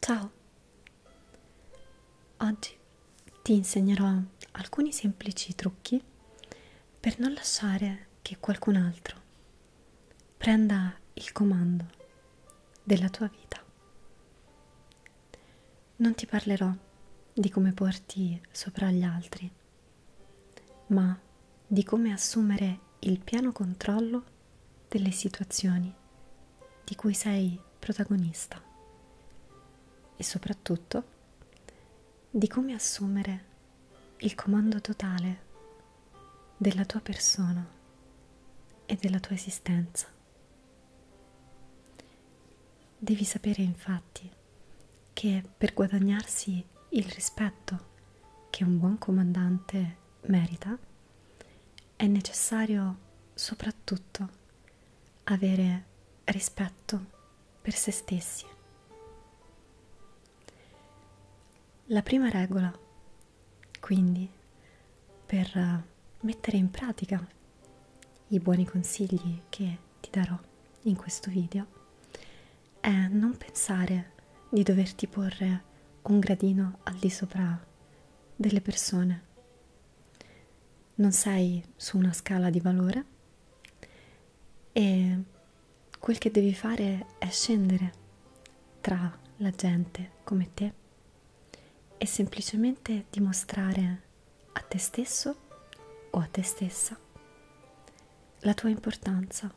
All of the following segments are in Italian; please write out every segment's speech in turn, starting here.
Ciao! Oggi ti insegnerò alcuni semplici trucchi per non lasciare che qualcun altro prenda il comando della tua vita. Non ti parlerò di come porti sopra gli altri, ma di come assumere il pieno controllo delle situazioni di cui sei protagonista e soprattutto di come assumere il comando totale della tua persona e della tua esistenza. Devi sapere infatti che per guadagnarsi il rispetto che un buon comandante merita è necessario soprattutto avere rispetto per se stessi. La prima regola, quindi, per mettere in pratica i buoni consigli che ti darò in questo video è non pensare di doverti porre un gradino al di sopra delle persone. Non sei su una scala di valore e quel che devi fare è scendere tra la gente come te e semplicemente dimostrare a te stesso o a te stessa, la tua importanza.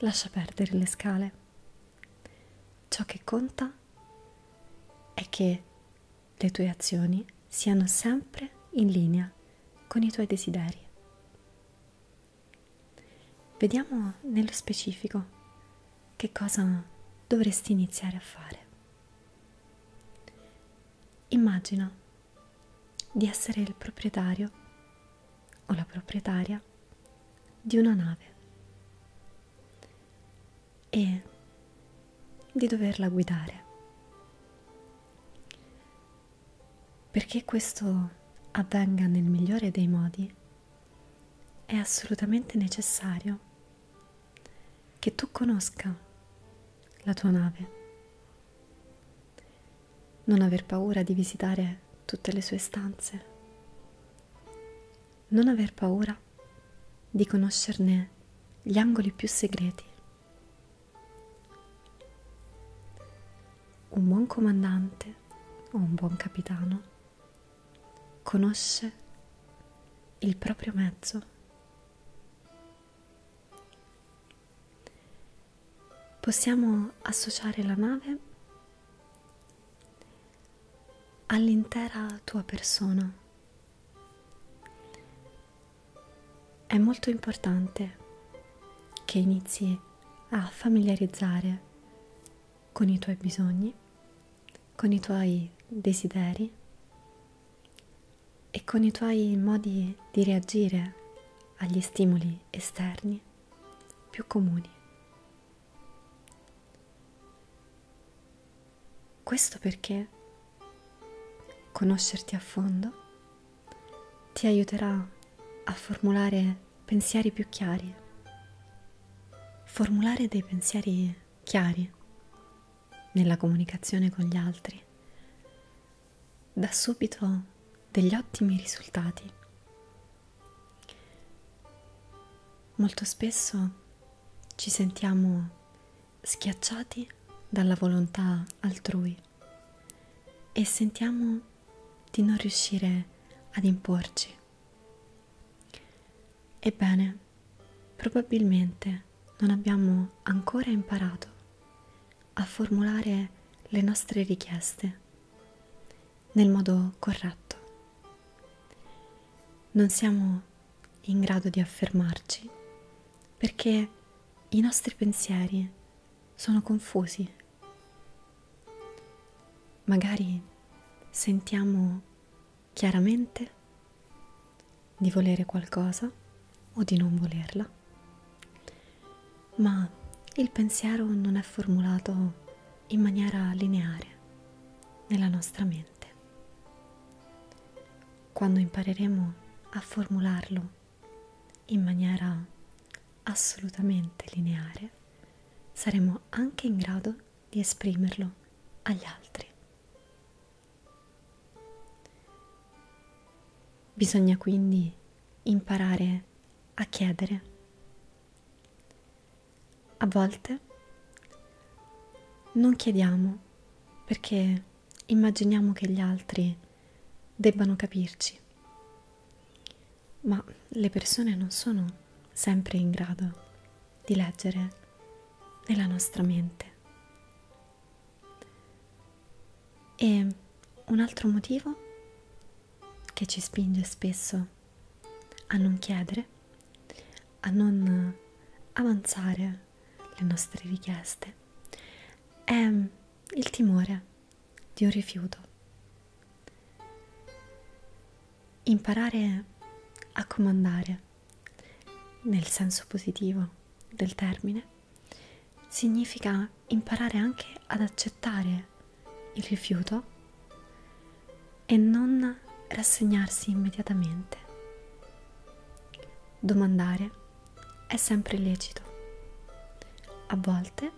Lascia perdere le scale. Ciò che conta è che le tue azioni siano sempre in linea con i tuoi desideri. Vediamo nello specifico che cosa dovresti iniziare a fare. Immagina di essere il proprietario o la proprietaria di una nave e di doverla guidare. Perché questo avvenga nel migliore dei modi è assolutamente necessario che tu conosca la tua nave, non aver paura di visitare tutte le sue stanze, non aver paura di conoscerne gli angoli più segreti. Un buon comandante o un buon capitano conosce il proprio mezzo. Possiamo associare la nave all'intera tua persona. È molto importante che inizi a familiarizzare con i tuoi bisogni con i tuoi desideri e con i tuoi modi di reagire agli stimoli esterni più comuni. Questo perché conoscerti a fondo ti aiuterà a formulare pensieri più chiari, formulare dei pensieri chiari nella comunicazione con gli altri, dà subito degli ottimi risultati. Molto spesso ci sentiamo schiacciati dalla volontà altrui e sentiamo di non riuscire ad imporci Ebbene, probabilmente non abbiamo ancora imparato a formulare le nostre richieste nel modo corretto. Non siamo in grado di affermarci perché i nostri pensieri sono confusi. Magari sentiamo chiaramente di volere qualcosa o di non volerla, ma il pensiero non è formulato in maniera lineare nella nostra mente. Quando impareremo a formularlo in maniera assolutamente lineare, saremo anche in grado di esprimerlo agli altri. Bisogna quindi imparare a chiedere. A volte non chiediamo perché immaginiamo che gli altri debbano capirci, ma le persone non sono sempre in grado di leggere nella nostra mente. E un altro motivo che ci spinge spesso a non chiedere, a non avanzare le nostre richieste, è il timore di un rifiuto imparare a comandare nel senso positivo del termine significa imparare anche ad accettare il rifiuto e non rassegnarsi immediatamente. Domandare è sempre lecito. A volte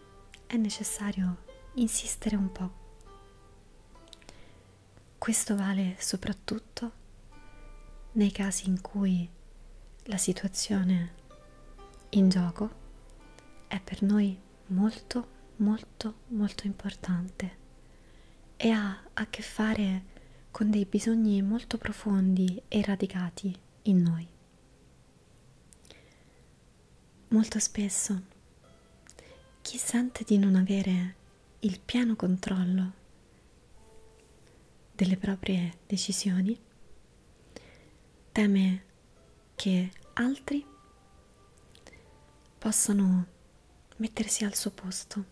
è necessario insistere un po'. Questo vale soprattutto nei casi in cui la situazione in gioco è per noi molto molto molto importante e ha a che fare con dei bisogni molto profondi e radicati in noi. Molto spesso chi sente di non avere il pieno controllo delle proprie decisioni teme che altri possano mettersi al suo posto.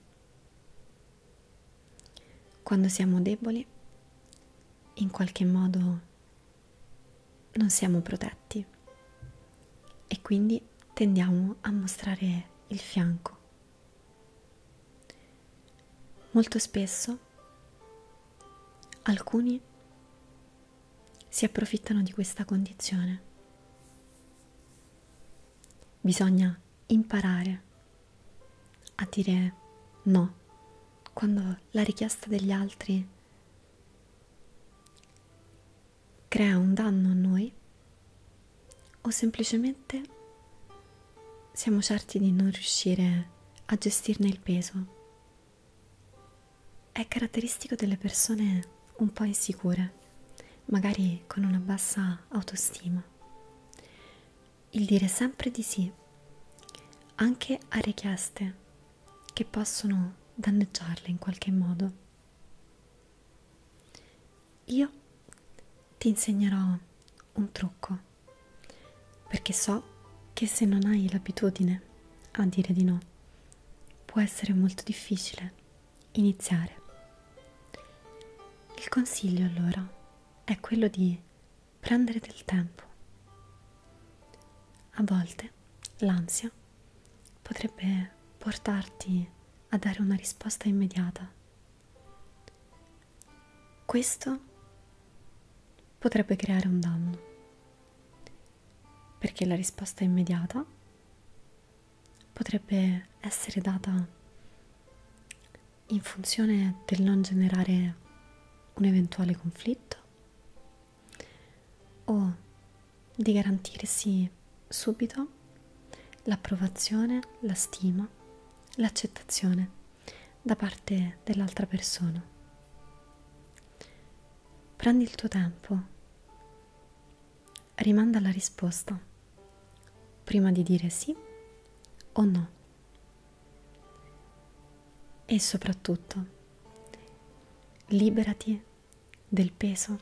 Quando siamo deboli, in qualche modo non siamo protetti e quindi tendiamo a mostrare il fianco. Molto spesso alcuni si approfittano di questa condizione. Bisogna imparare a dire no quando la richiesta degli altri crea un danno a noi o semplicemente siamo certi di non riuscire a gestirne il peso. È caratteristico delle persone un po' insicure, magari con una bassa autostima. Il dire sempre di sì, anche a richieste che possono danneggiarle in qualche modo. Io ti insegnerò un trucco perché so che se non hai l'abitudine a dire di no può essere molto difficile iniziare. Il consiglio allora è quello di prendere del tempo. A volte l'ansia potrebbe portarti a dare una risposta immediata. Questo potrebbe creare un danno, perché la risposta immediata potrebbe essere data in funzione del non generare un eventuale conflitto o di garantirsi subito l'approvazione, la stima, l'accettazione da parte dell'altra persona. Prendi il tuo tempo, rimanda la risposta prima di dire sì o no. E soprattutto, Liberati del peso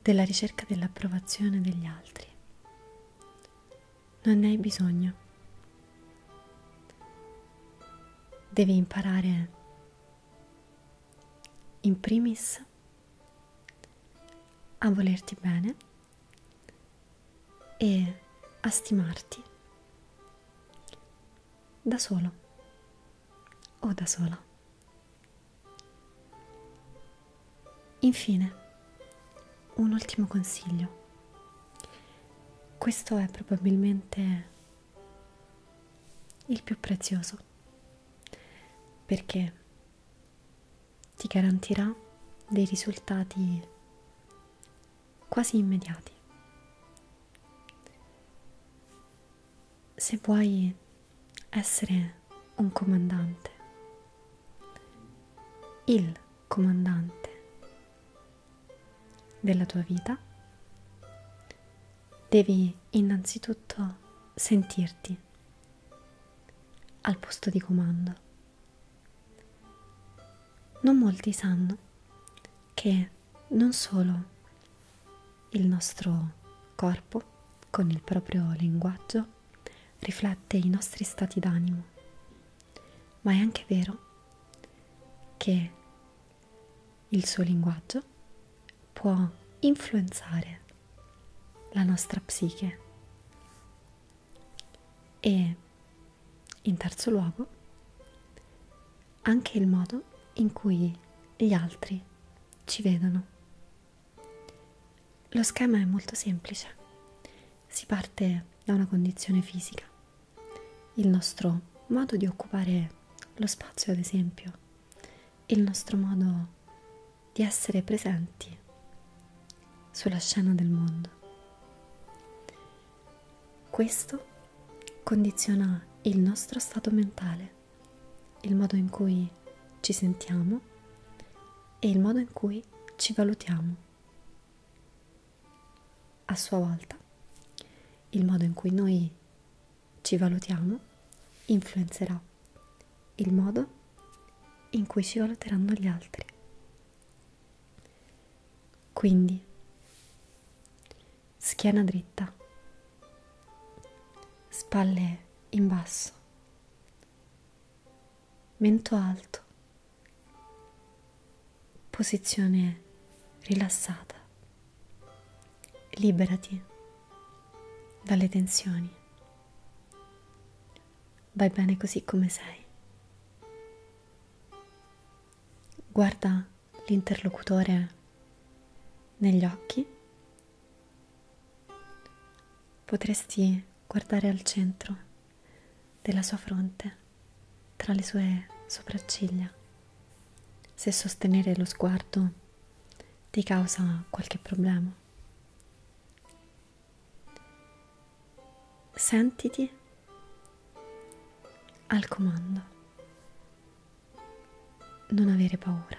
della ricerca dell'approvazione degli altri. Non ne hai bisogno. Devi imparare in primis a volerti bene e a stimarti da solo o da sola. Infine, un ultimo consiglio. Questo è probabilmente il più prezioso perché ti garantirà dei risultati quasi immediati. Se vuoi essere un comandante, il comandante della tua vita, devi innanzitutto sentirti al posto di comando. Non molti sanno che non solo il nostro corpo con il proprio linguaggio riflette i nostri stati d'animo, ma è anche vero che il suo linguaggio può influenzare la nostra psiche e in terzo luogo, anche il modo in cui gli altri ci vedono. Lo schema è molto semplice. Si parte da una condizione fisica. Il nostro modo di occupare lo spazio, ad esempio, il nostro modo di essere presenti sulla scena del mondo. Questo condiziona il nostro stato mentale, il modo in cui ci sentiamo e il modo in cui ci valutiamo. A sua volta, il modo in cui noi ci valutiamo influenzerà il modo in cui ci valuteranno gli altri. Quindi, schiena dritta, spalle in basso, mento alto, posizione rilassata. Liberati dalle tensioni. Vai bene così come sei guarda l'interlocutore negli occhi, potresti guardare al centro della sua fronte, tra le sue sopracciglia, se sostenere lo sguardo ti causa qualche problema sentiti al comando, non avere paura.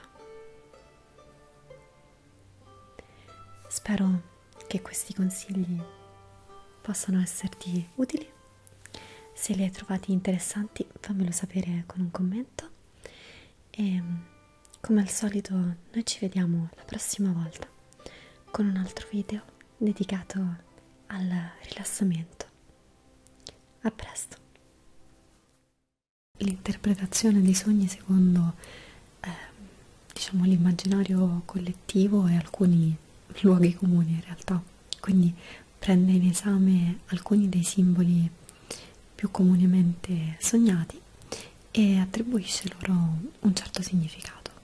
Spero che questi consigli possano esserti utili. Se li hai trovati interessanti fammelo sapere con un commento e come al solito noi ci vediamo la prossima volta con un altro video dedicato al rilassamento. A presto! L'interpretazione dei sogni secondo eh, diciamo l'immaginario collettivo e alcuni luoghi comuni in realtà, quindi prende in esame alcuni dei simboli più comunemente sognati e attribuisce loro un certo significato.